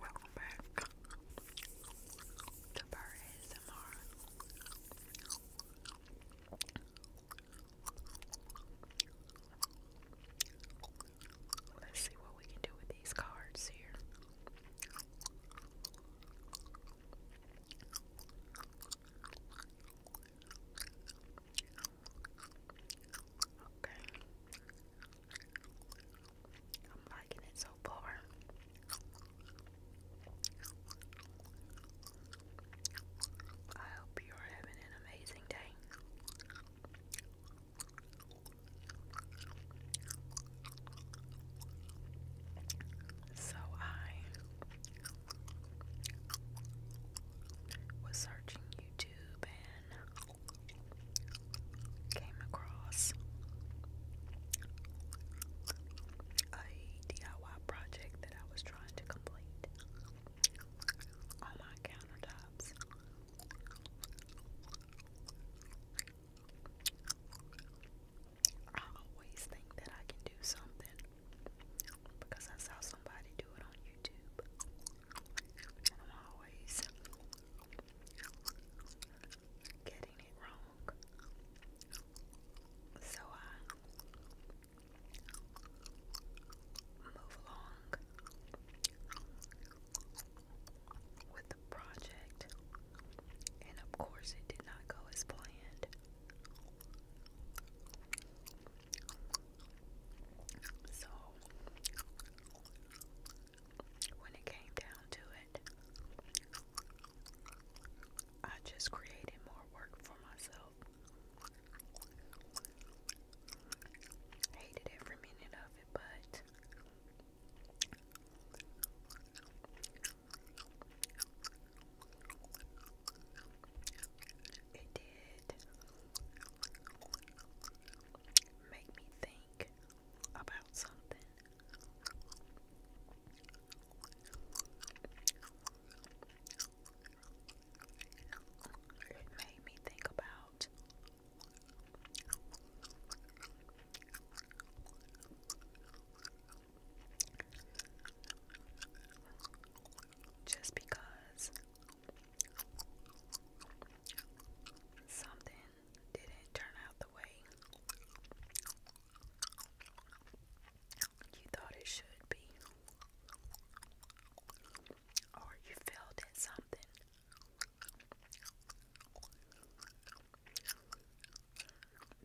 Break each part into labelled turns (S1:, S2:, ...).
S1: Welcome back to Bar Let's see what we can do with these cards here. Okay. I'm liking it so far. I hope you're having an amazing day. So I was searching YouTube and came across a DIY project that I was trying to complete on my countertops. I always think that I can do something because I saw somebody do it on YouTube. I'm always getting it wrong. So I move along with the project, and of course, it did not go as planned. So when it came down to it, I just created more work for myself. Hated every minute of it, but it did make me think about something. It made me think about just because something didn't turn out the way you thought it should be, or you failed something.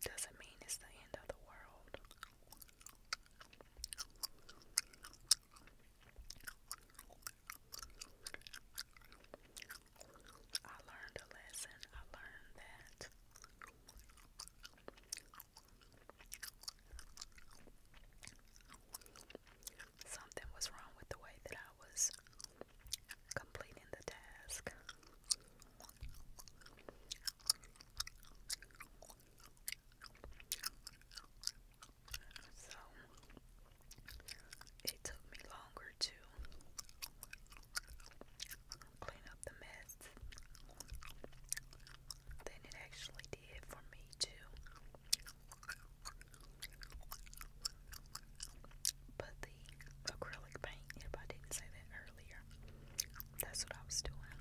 S1: Doesn't mean it's the end of the world. I learned a lesson. I learned that something was wrong with the way that I was completing the task. So it took me longer to clean up the mess than it actually did for me to. Put the acrylic paint, if I didn't say that earlier, that's what I was doing.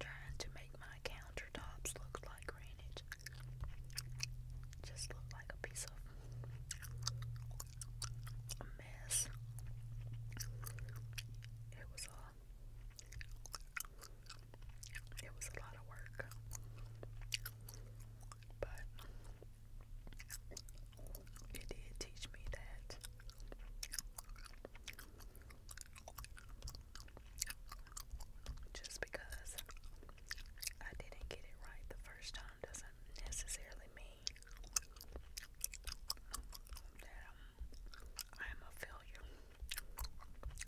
S1: Trying to make my countertops look like granite. Just look like a piece of mess. It was a it was a lot of work. But it did teach me that just because I didn't get it right the first time doesn't necessarily mean that I am a failure.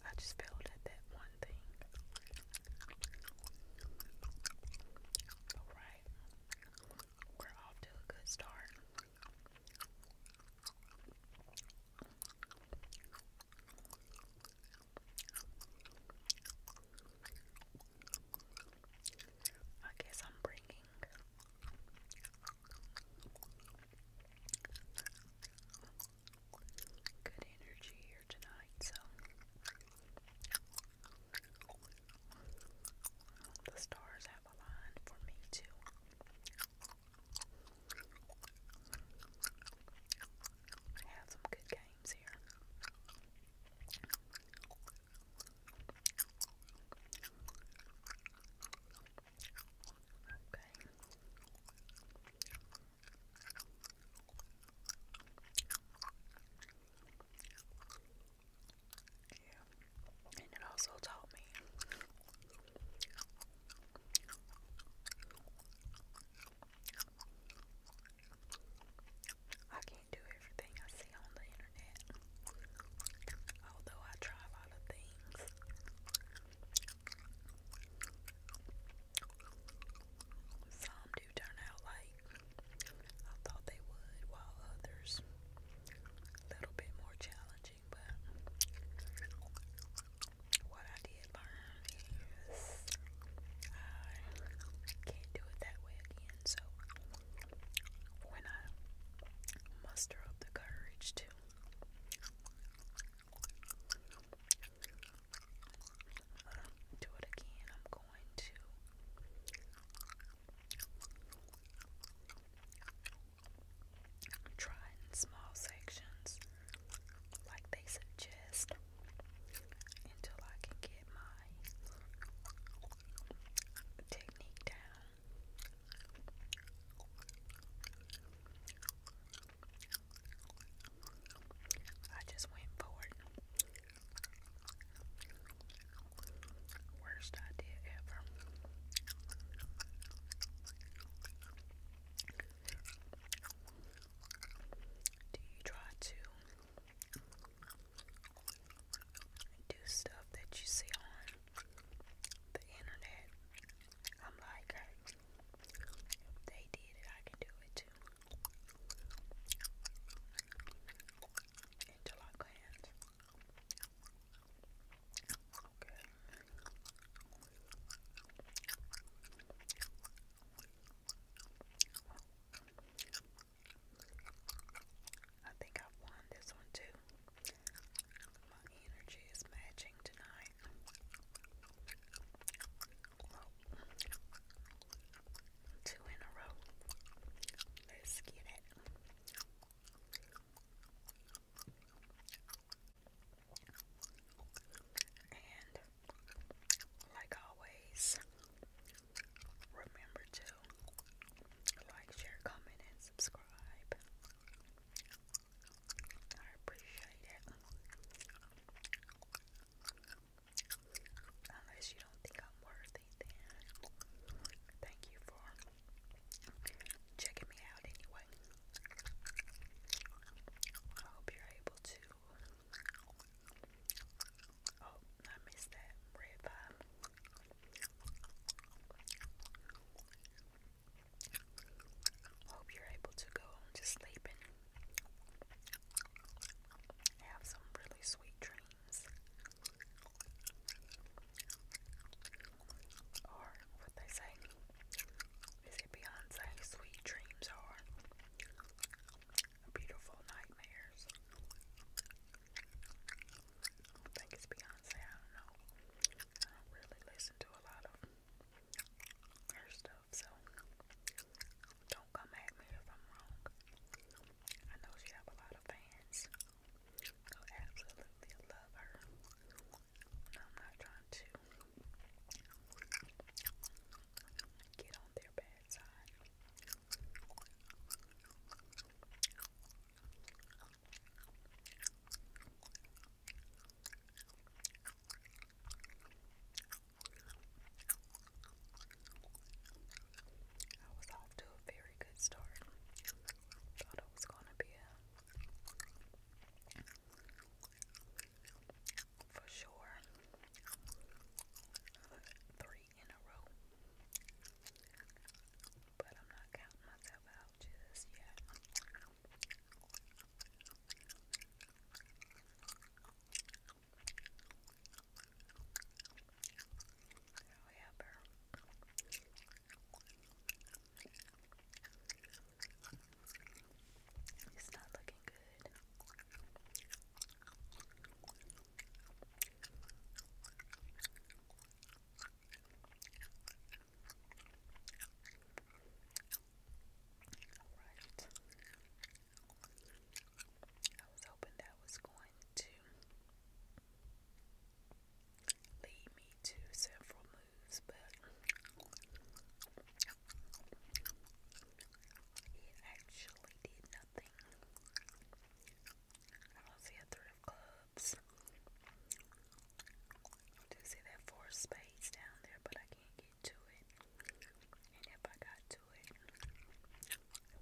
S1: I just failed at that one thing. Alright, we're off to a good start. I guess I'm bringing good energy here tonight, so the stars Avalon for me too. have some good games here. Okay. Yeah. And it also taught me I can't do everything I see on the internet. Although I try a lot of things. Some do turn out like I thought they would, while others a little bit more challenging, but what I did learn is I can't do it that way again. So when I muster up the courage to do it again, I'm going to Try in small sections like they suggest until I can get my technique down. I just went forward. Worst idea ever. Do you try to do stuff that you see on the internet? I'm like, hey, if they did it, I can do it too into like hands. Okay. I think i won this one too. My energy is matching tonight. Two in a row. Let's get it. And like always, remember to like, share, comment, and subscribe. I appreciate it. Unless you don't think I'm worthy, then thank you for checking me out anyway. I hope you're able to. Oh, I missed that red vibe. Hope you're able to go to sleep and have some really sweet dreams. Or what they say. Is it Beyonce? Sweet dreams are beautiful nightmares. I think it's Beyonce. I don't know. I don't really listen to a lot of her stuff, so don't come at me if I'm wrong. I know she have a lot of fans who absolutely love her. I'm not trying to get on their bad side. I was off to a very good start. Thought it was gonna be a for sure three in a row. But I'm not counting myself out just yet we have her. It's not looking good. All right. I was hoping that was going to lead me to several moves, but it actually did nothing. I don't three of clubs. do see that four spades down there, but I can't get get to it. And if I got to it, it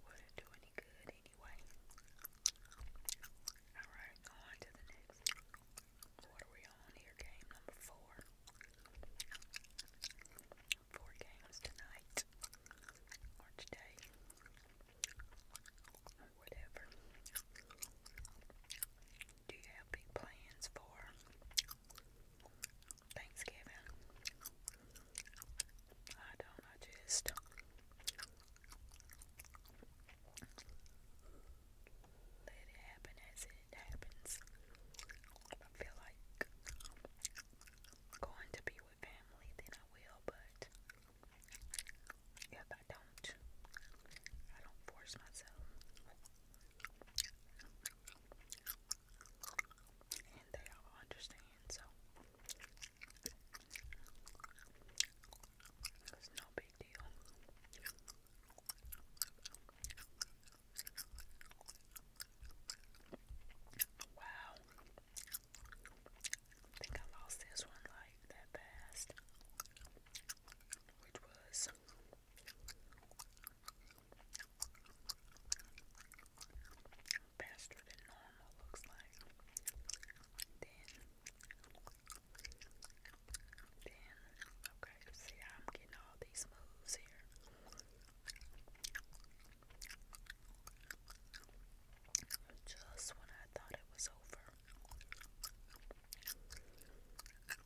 S1: wouldn't do any good anyway. Alright, on to the next. What are we on here? Game number four. Four games tonight. Or today. Or whatever. Do you have big plans for Thanksgiving. I don't know, let it happen as it happens. I feel like going to be with family, then I will, but if I don't, I don't force myself and they all understand, so it's no big deal. Wow. I think I lost this one like that fast. Which was faster than normal looks like. Then, then, okay, see I'm getting all these moves here. Just when I thought it was over.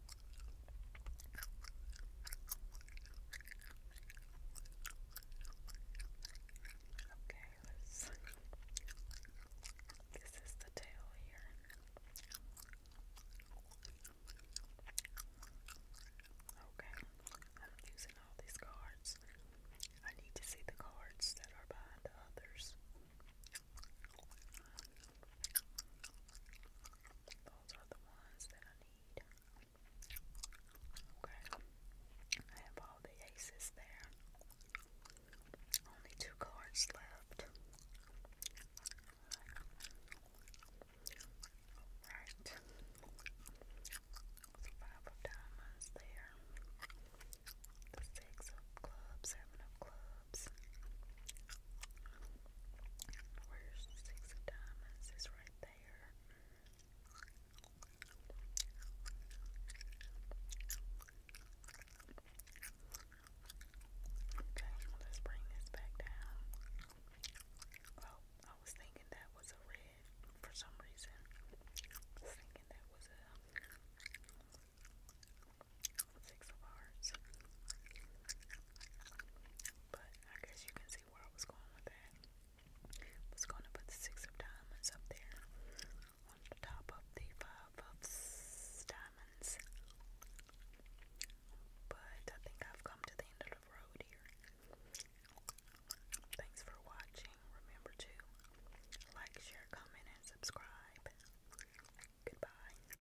S1: Okay, let's this is the tail here. Okay, I'm using all these cards. I need to see the cards that are behind the others. Those are the ones that I need. Okay. I have all the aces there. Only two cards left. Alright. Five of diamonds there. The six of clubs, seven of clubs. Clubs. Where's Six Diamonds? It's right there. Okay, let's bring this back down. Oh, I was thinking that was a red for some reason. was thinking that was a Six of Hearts. But I guess you can see where I was going with that. I was going to put the Six of Diamonds up there on the top of the Five of Diamonds. But I think I've come to the end of the road here. Thanks for watching. Remember to like, share, comment, and subscribe. Goodbye.